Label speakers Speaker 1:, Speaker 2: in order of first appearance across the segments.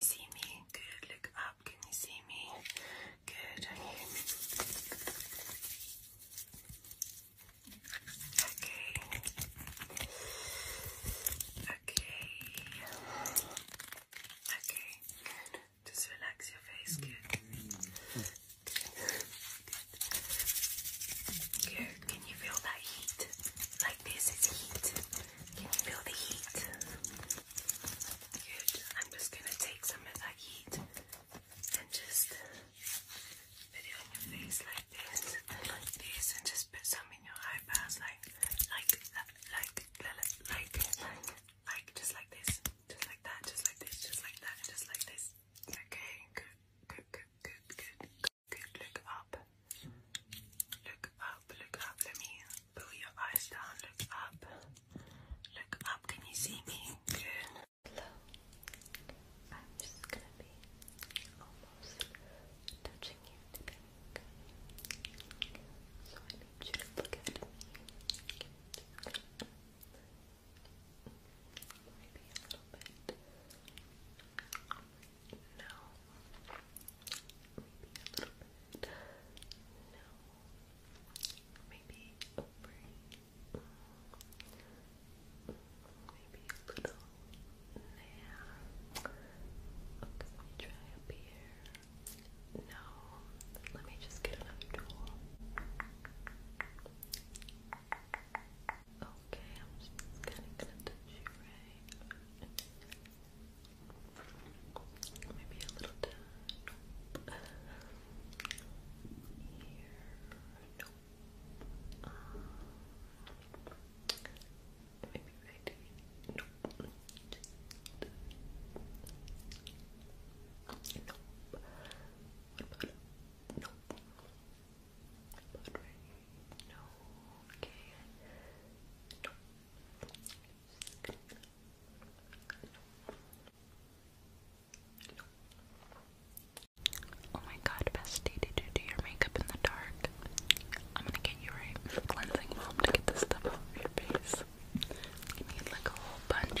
Speaker 1: See me? Good. Look up. Can you see me? Good. Okay. Okay. Okay. Good. Just relax your face. Good. Can you feel that heat? Like this is heat. Can you feel the heat? I'm just gonna take some of that heat and just put it on your face like this like this and just put some in your eyebrows like like like like like like like just like this just like that just like this just like that just like this okay good good good good look up look up look up let me pull your eyes down look up look up can you see me good Hello. I'm just gonna be almost touching you So I need you to look at me. Maybe a little bit. No. Maybe a little bit. No. Maybe over Maybe a little nah. Okay, let me try up here. No. Let me just get another tool. Okay, I'm just kinda gonna touch you right. Maybe a little Here no. Um, maybe right here. No. Nope. What about nope? What about right here? No. Okay. No. Nope. Oh my god, bestie, did you do your makeup in the dark? I'm gonna get you a cleansing balm to get this stuff off your face. You need like a whole bunch.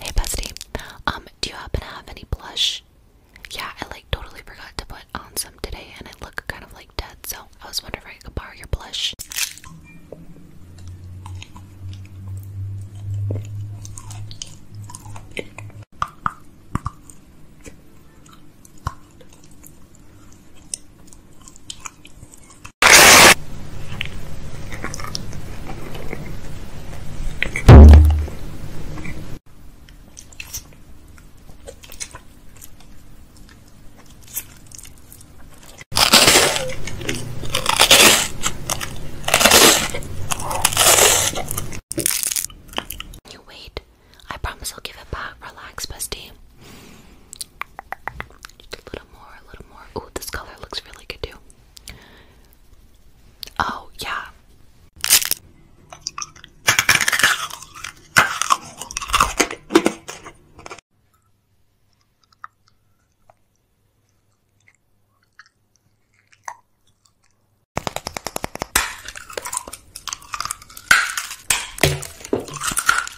Speaker 1: Hey bestie, um, do you happen to have any blush? Yeah, I like totally forgot to put on some today, and I look kind of like dead. So I was wondering if I could borrow your blush. You wait. I promise I'll give it back. Relax, bestie. Just a little little more, a little more. Ooh, this color looks really good too. Oh, yeah.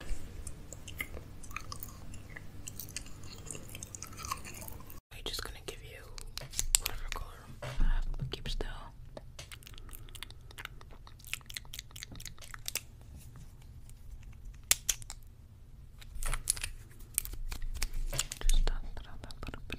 Speaker 1: I'm just gonna give you whatever color I have, keep still. Just dot it little bit.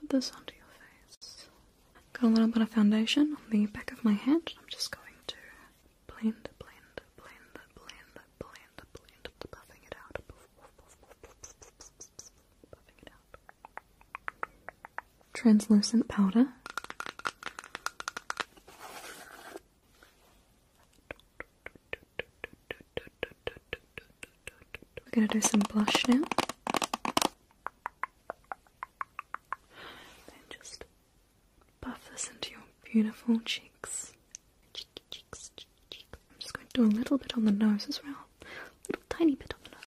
Speaker 1: Put this onto your face. Got a little bit of foundation on the back of my hand. I'm just going to blend, blend, blend, blend, blend, blend, buffing it out translucent powder. We're going to do some blush now. Then just buff this into your beautiful cheeks. cheeks. I'm just going to do a little bit on the nose as well. A little tiny bit on the nose.